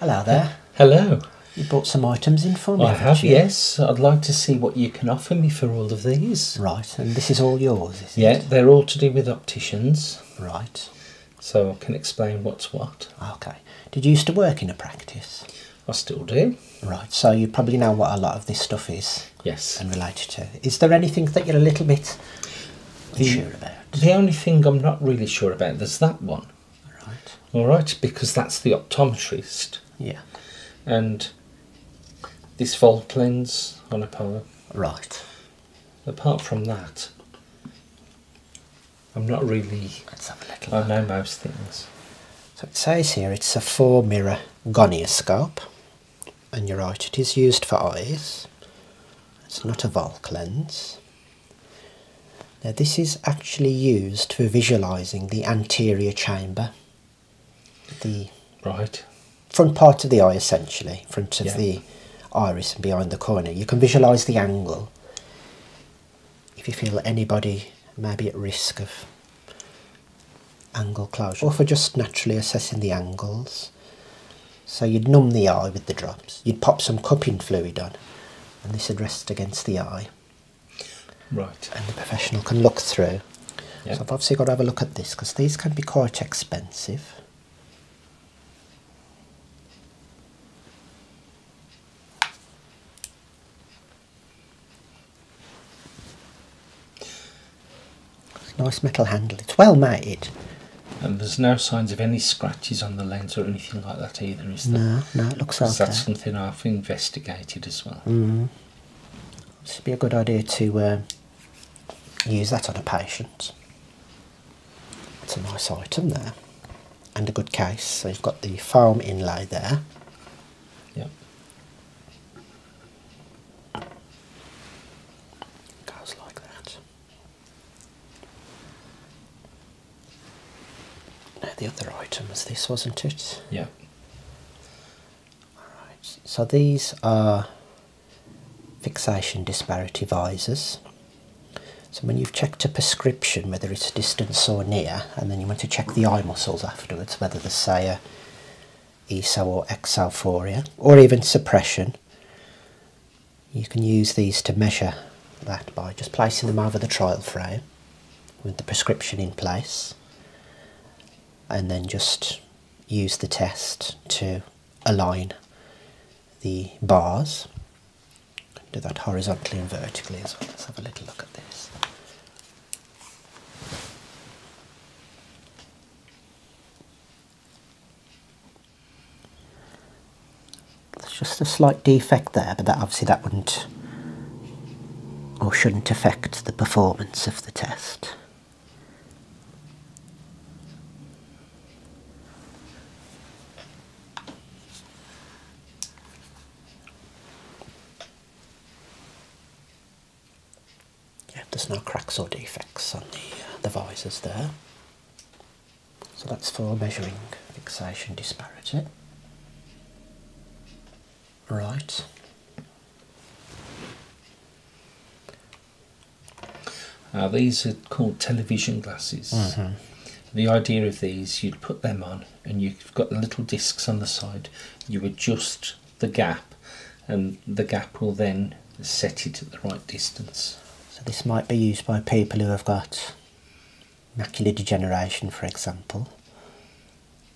Hello there. Hello. You brought some items in for me. yes. I'd like to see what you can offer me for all of these. Right, and this is all yours, is yeah, it? they're all to do with opticians. Right. So I can explain what's what. Okay. Did you used to work in a practice? I still do. Right, so you probably know what a lot of this stuff is. Yes. And related to. Is there anything that you're a little bit the, sure about? The only thing I'm not really sure about, is that one. Right. All right, because that's the optometrist. Yeah. And this Volk lens on a power. Right. Apart from that, I'm not really. I know most things. So it says here it's a four mirror gonioscope, and you're right, it is used for eyes. It's not a Volk lens. Now this is actually used for visualising the anterior chamber, the front part of the eye essentially, front of the iris and behind the cornea. You can visualise the angle. If you feel anybody may be at risk of angle closure, or for just naturally assessing the angles, so you'd numb the eye with the drops. You'd pop some cupping fluid on, and this would rest against the eye. Right. And the professional can look through. Yep. So I've obviously got to have a look at this because these can be quite expensive. Nice metal handle. It's well made. And there's no signs of any scratches on the lens or anything like that either, is there? No, no, it looks like that. That's something I've investigated as well. Mm. This be a good idea to um, use that on a patient. It's a nice item there. And a good case. So you've got the foam inlay there. Yep. Goes like that. Now the other item was this, wasn't it? Yeah. Alright, so these are fixation disparity visors. So when you've checked a prescription, whether it's distance or near, and then you want to check the eye muscles afterwards, whether there's say a or exalphoria, or even suppression, you can use these to measure that by just placing them over the trial frame with the prescription in place and then just use the test to align the bars. Do that horizontally and vertically as well. Let's have a little look at this. It's just a slight defect there, but that obviously that wouldn't or shouldn't affect the performance of the test. there's no cracks or defects on the, uh, there. So that's for measuring fixation disparity. Right. Now uh, these are called television glasses. Mm-hmm. The idea of these, you'd put them on, and you've got little discs on the side. You adjust the gap, and the gap will then and set it at the right distance. So this might be used by people who have got macular degeneration, for example.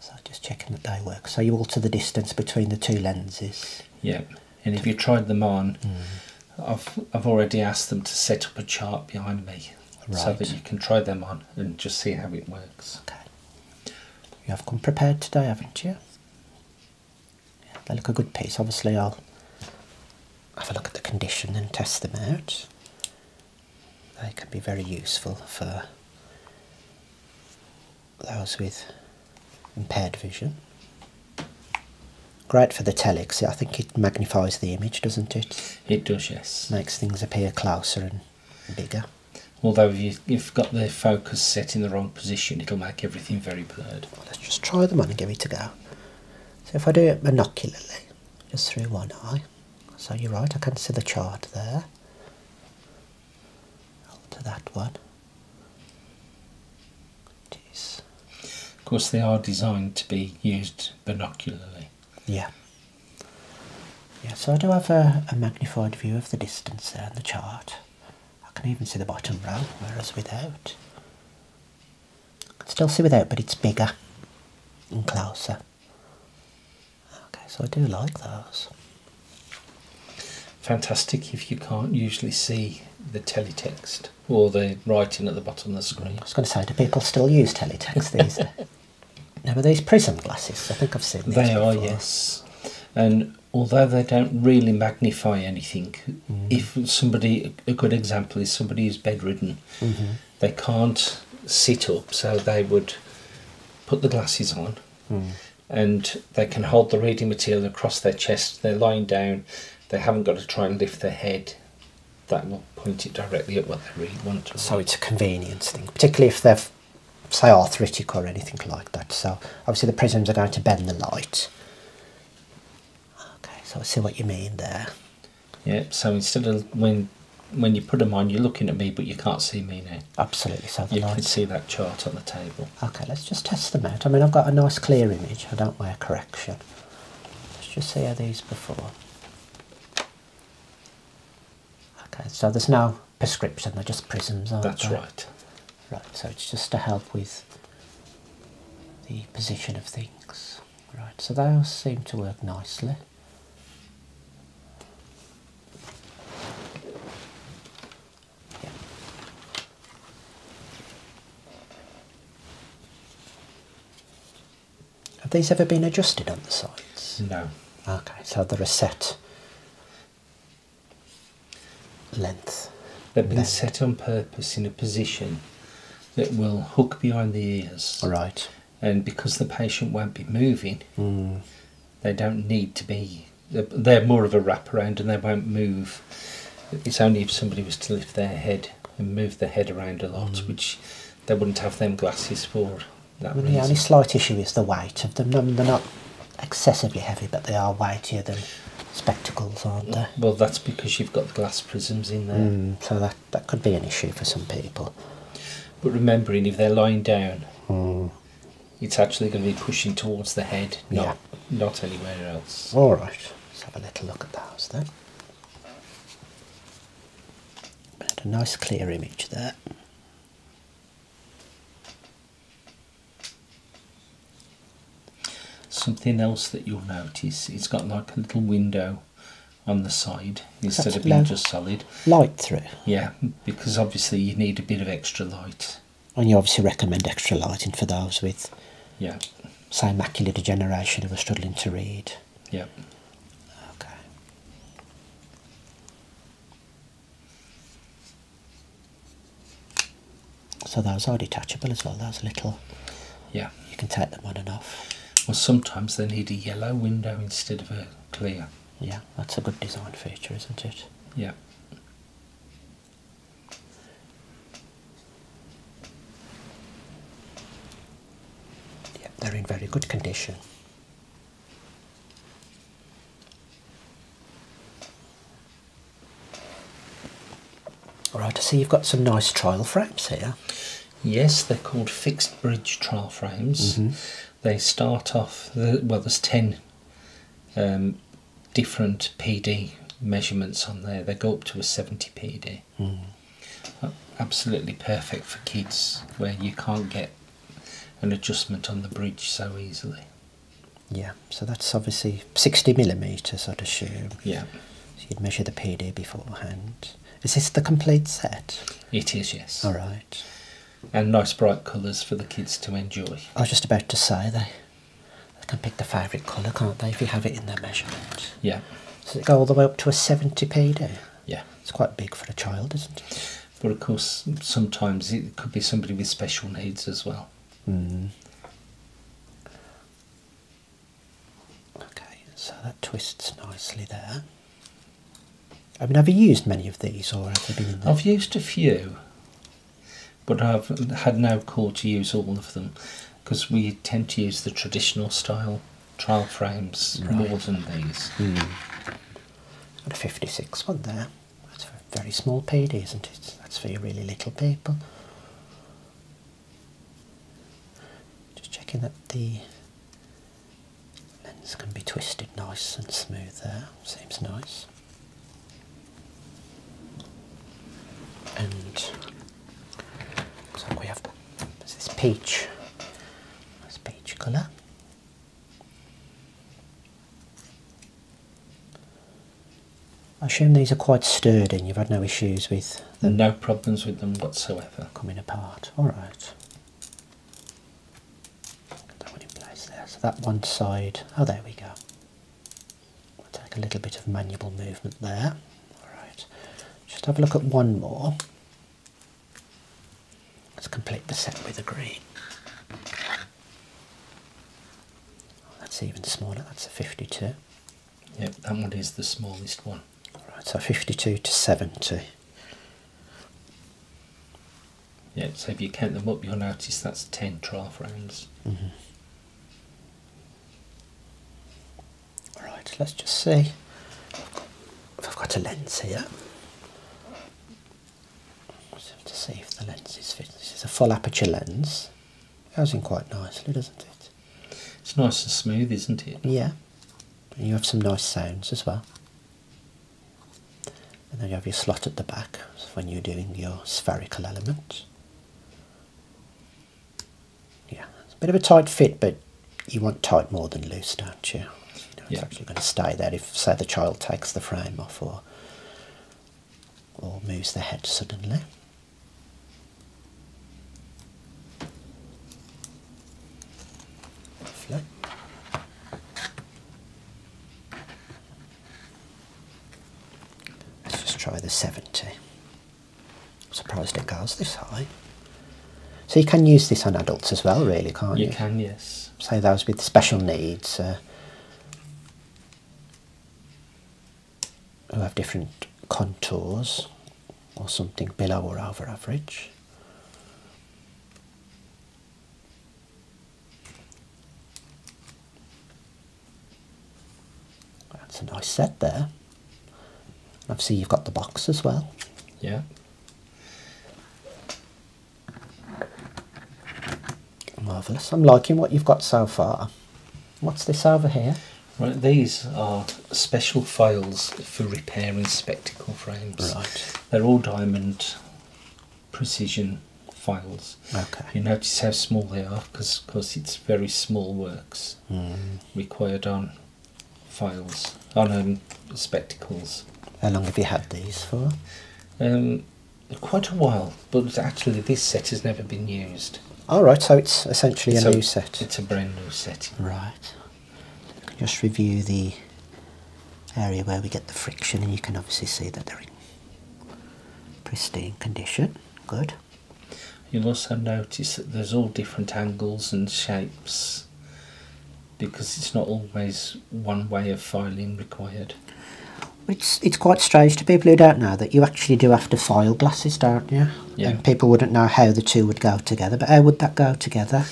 So just checking that they work. So you alter the distance between the two lenses. Yeah, and if you tried them on, hmm. I've I've already asked them to set up a chart behind me, so that you can try them on and just see how it works. Okay. You have come prepared today, haven't you? they look a good piece. Obviously, I'll have a look at the condition and test them out. They can be very useful for those with impaired vision. Great for the telex. I think it magnifies the image, doesn't it? It does, yes. Makes things appear closer and bigger. Although if you've got the focus set in the wrong position, it'll make everything very blurred. let's just try them on and give it a go. So if I do it binocularly, just through one eye, so you're right, I can see the chart there. Alter that one. Jeez. Of course, they are designed to be used binocularly. Yeah. Yeah, so I do have a, magnified view of the distance there on the chart. I can even see the bottom row, whereas without still see without, but it's bigger and closer. Okay, so I do like those. Fantastic if you can't usually see the teletext or the writing at the bottom of the screen. I was going to say, do people still use teletext these days? Now, are these prism glasses? I think I've seen these. They are, yes. And although they don't really magnify anything, mm. if somebody a good example is somebody who's bedridden. Mm-hmm. They can't sit up, so they would put the glasses on hmm. and they can hold the reading material across their chest. They're lying down, they haven't got to try and lift their head. That will point it directly at what they really want. So it's a convenience thing, particularly if they're, say, arthritic or anything like that. So obviously the prisms are going to bend the light Okay, so I see what you mean there. Yeah, so instead of when when you put them on, you're looking at me, but you can't see me now. Absolutely, so you can see that chart on the table. Okay, let's just test them out. I mean, I've got a nice clear image. I don't wear correction. Let's just see how these before. Okay, so there's no prescription. They're just prisms, aren't That's right. Right, so it's just to help with the position of things. Right, so those seem to work nicely. Yeah. Have these ever been adjusted on the sides? No. Okay, so they're a set length. They've been set on purpose in a position that will hook behind the ears. Right. And because the patient won't be moving, hmm. they don't need to be. They're more of a wraparound and they won't move. It's only if somebody was to lift their head and move their head around a lot, hmm. which they wouldn't have them glasses for. the only slight issue is the weight of them. They're not excessively heavy, but they are weightier than spectacles, aren't they? Well, that's because you've got the glass prisms in there. Hmm, so that, that could be an issue for some people. But remembering, if they're lying down, hmm. it's actually going to be pushing towards the head, not, not anywhere else. All right, let's have a little look at the house then. a nice clear image there. Something else that you'll notice, it's got like a little window on the side instead of being just solid. Light through. Yeah, because obviously you need a bit of extra light. And you obviously recommend extra lighting for those with, yeah, say macular degeneration who are struggling to read. Yeah. Okay. So those are detachable as well, those little. Yeah. You can take them on and off. Well, sometimes they need a yellow window instead of a clear. Yeah, that's a good design feature, isn't it? Yeah. Yeah, they're in very good condition. All right. I see you've got some nice trial frames here. Yes, they're called fixed bridge trial frames. Mm-hmm. They start off, the, well, there's 10 um, different PD measurements on there. They go up to a 70 PD. Mm. Uh, absolutely perfect for kids where you can't get an adjustment on the bridge so easily. Yeah, so that's obviously 60 millimeters, I'd assume. Yeah. So you'd measure the PD beforehand. Is this the complete set? It is, yes. All right. And nice bright colours for the kids to enjoy. I was just about to say they, can pick the favourite colour, can't they, if you have it in their measurement? Yeah. Does it go all the way up to a 70 PD? Yeah. It's quite big for a child, isn't it? But of course, sometimes it could be somebody with special needs as well. Mm-hmm. Okay, so that twists nicely there. I have never used many of these, or have been? I've used a few, but I've had no call to use all of them because we tend to use the traditional style trial frames more than these. Hmm. And a fifty-six one there. That's for a very small payday, isn't it? That's for your really little people. Just checking that the lens can be twisted nice and smooth there. Seems nice. And so we have this is peach. That's peach colour. I assume these are quite sturdy and you've had no issues with them? No problems with them whatsoever. Coming apart, alright. That one in place there, so that one side, oh there we go. take a little bit of manual movement there. Alright, just have a look at one more. Let's complete the set with the green. That's even smaller, that's a 52. Yep, that one is the smallest one. Alright, so 52 to 70. Yeah, so if you count them up, you'll notice that's 10 trough rounds. Mm-hmm. Alright, let's just see if I've got a lens here. let to see if the lens is fitting. This is a full aperture lens. Housing quite nicely, doesn't it? It's nice and smooth, isn't it? Yeah. And you have some nice sounds as well. And then you have your slot at the back when you're doing your spherical element. Yeah, it's a bit of a tight fit, but you want tight more than loose, don't you? you it's actually going to stay there if, say, the child takes the frame off or or moves the head suddenly. Let's just try the 70. I'm surprised it goes this high. So you can use this on adults as well, really, can't you? You can, yes. Say so those with special needs. Uh, who have different contours or something below or over average. That's a nice set there. Obviously, you've got the box as well. Yeah. Marvellous. I'm liking what you've got so far. What's this over here? Right, these are special files for repairing spectacle frames. Right. They're all diamond precision files. Okay. You notice how small they are because, of it's very small works hmm. required on files, on um, spectacles. How long have you had these for? Um, quite a while, but actually this set has never been used. All right, so it's essentially a, a new set. It's a brand new set. Right. Just review the area where we get the friction, and you can obviously see that they're in pristine condition. Good. You'll also notice that there's all different angles and shapes because it's not always one way of filing required. It's it's quite strange to people who don't know that you actually do have to file glasses, don't you? Yeah. people wouldn't know how the two would go together, but how would that go together?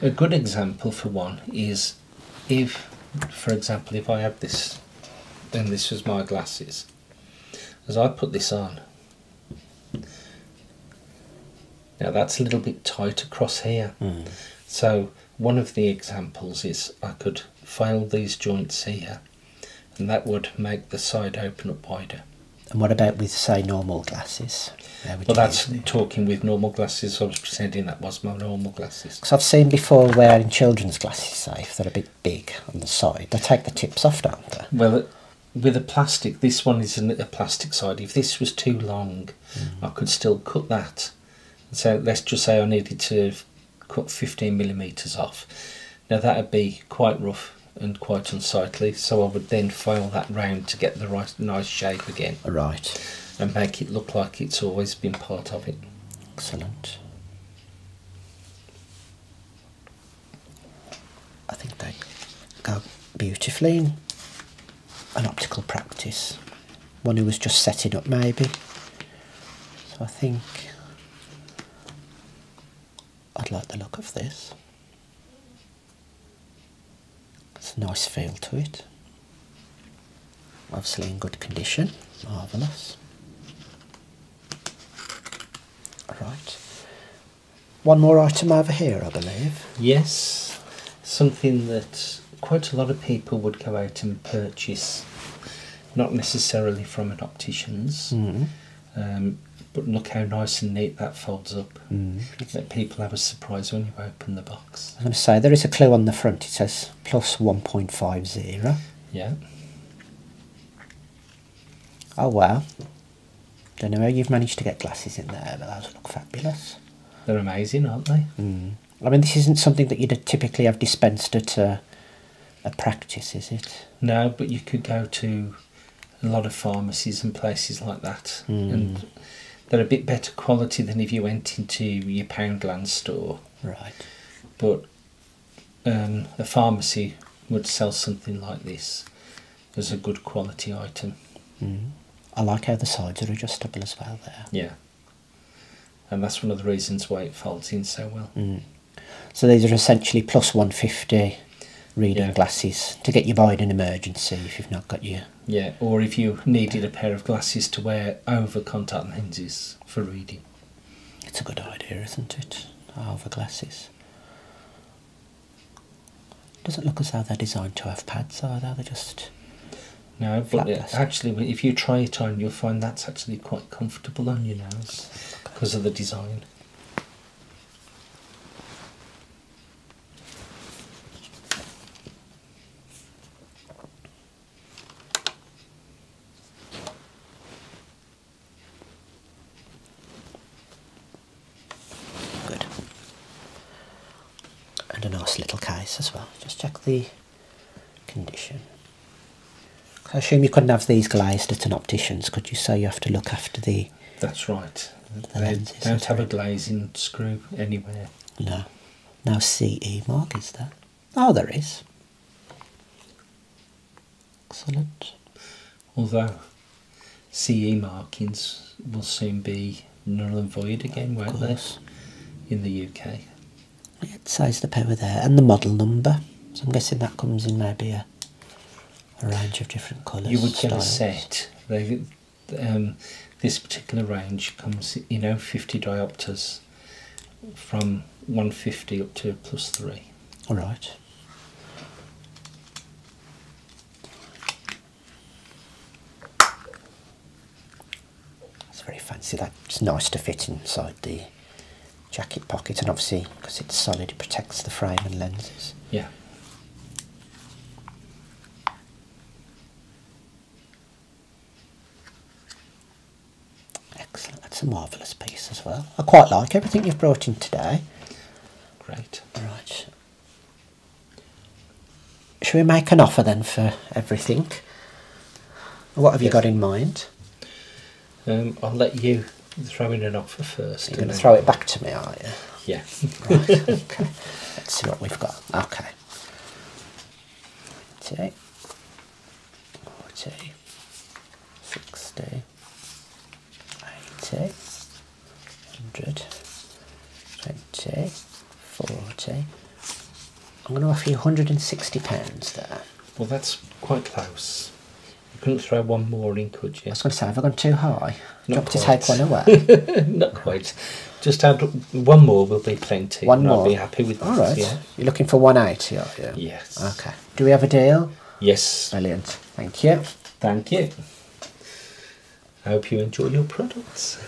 A good example for one is if, for example, if I have this, then this was my glasses. As I put this on, now that's a little bit tight across here. Hmm. So one of the examples is I could file these joints here and that would make the side open up wider. And what about with, say, normal glasses? Well, that's talking with normal glasses. I was presenting that was my normal glasses. Because I've seen before wearing children's glasses, safe if they're a bit big on the side, they take the tips off, don't they? Well, uh, with a plastic, this one is a plastic side. If this was too long, hmm. I could still cut that. So let's just say I needed to cut 15 millimeters off. Now that would be quite rough and quite unsightly, so I would then file that round to get the right nice shape again. Right. And make it look like it's always been part of it. Excellent. I think they go beautifully in an optical practice one who was just setting up maybe. So I think I'd like the look of this. It's a nice feel to it. Obviously in good condition, marvellous. All right. One more item over here, I believe. Yes, something that quite a lot of people would go out and purchase, not necessarily from an optician's, mm-hmm. um, but look how nice and neat that folds up. Mm-hmm. Let people have a surprise when you open the box. I'm sorry, there is a clue on the front. It says plus 1.50. Yeah. Oh wow. Don't know how you've managed to get glasses in there, but those look fabulous. They're amazing, aren't they? Mm. I mean, this isn't something that you'd typically have dispensed at a, practice, is it? No, but you could go to a lot of pharmacies and places like that, hmm. and they're a bit better quality than if you went into your Poundland store. Right. But um, a pharmacy would sell something like this as a good quality item. Hmm. I like how the sides are adjustable as well there. Yeah and that's one of the reasons why it folds in so well. Mm. So these are essentially plus 150 reading glasses to get you by in an emergency if you've not got your... Yeah, or if you needed a pair of glasses to wear over contact lenses for reading. It's a good idea, isn't it? Over glasses. Doesn't look as though they're designed to have pads either, they're just no, but actually, if you try it on, you'll find that's actually quite comfortable on your nose because of the design. Good. And a nice little case as well. Just check the condition. I assume you couldn't have these glazed at an optician's, could you? So you have to look after the. That's right. don't have a glazing screw anywhere. No. No CE mark is there? Oh, there is. Excellent. Although CE markings will soon be null and void again, won't In the UK size of the power there and the model number. So I'm guessing that comes in maybe a, range of different colours. You would get styles. a set. Um, this particular range comes, you know, 50 diopters from 150 up to plus 3. All right. It's very fancy That's nice to fit inside the jacket pocket, and obviously because it's solid, it protects the frame and lenses. Yeah. Excellent. That's a marvellous piece as well. I quite like everything you've brought in today. Great. Right. Should we make an offer then for everything? What have you got in mind? Um, I'll let you throw in an offer first. You're going to throw it back to me, are not you? Yeah. okay. Let's see what we've got. Okay. 48, 40, 60, 80, 40, I'm going to offer you £160 there. Well, that's quite close. You couldn't throw one more in, could you? I was going to say, have I gone too high? Not Do you quite. to take Not quite. Just add one more will be plenty. One more. I'll be happy with that. All right. You're looking for 180, are you? Yes. Okay. Do we have a deal? Yes. Brilliant. Thank you. Thank you. I hope you enjoy your products.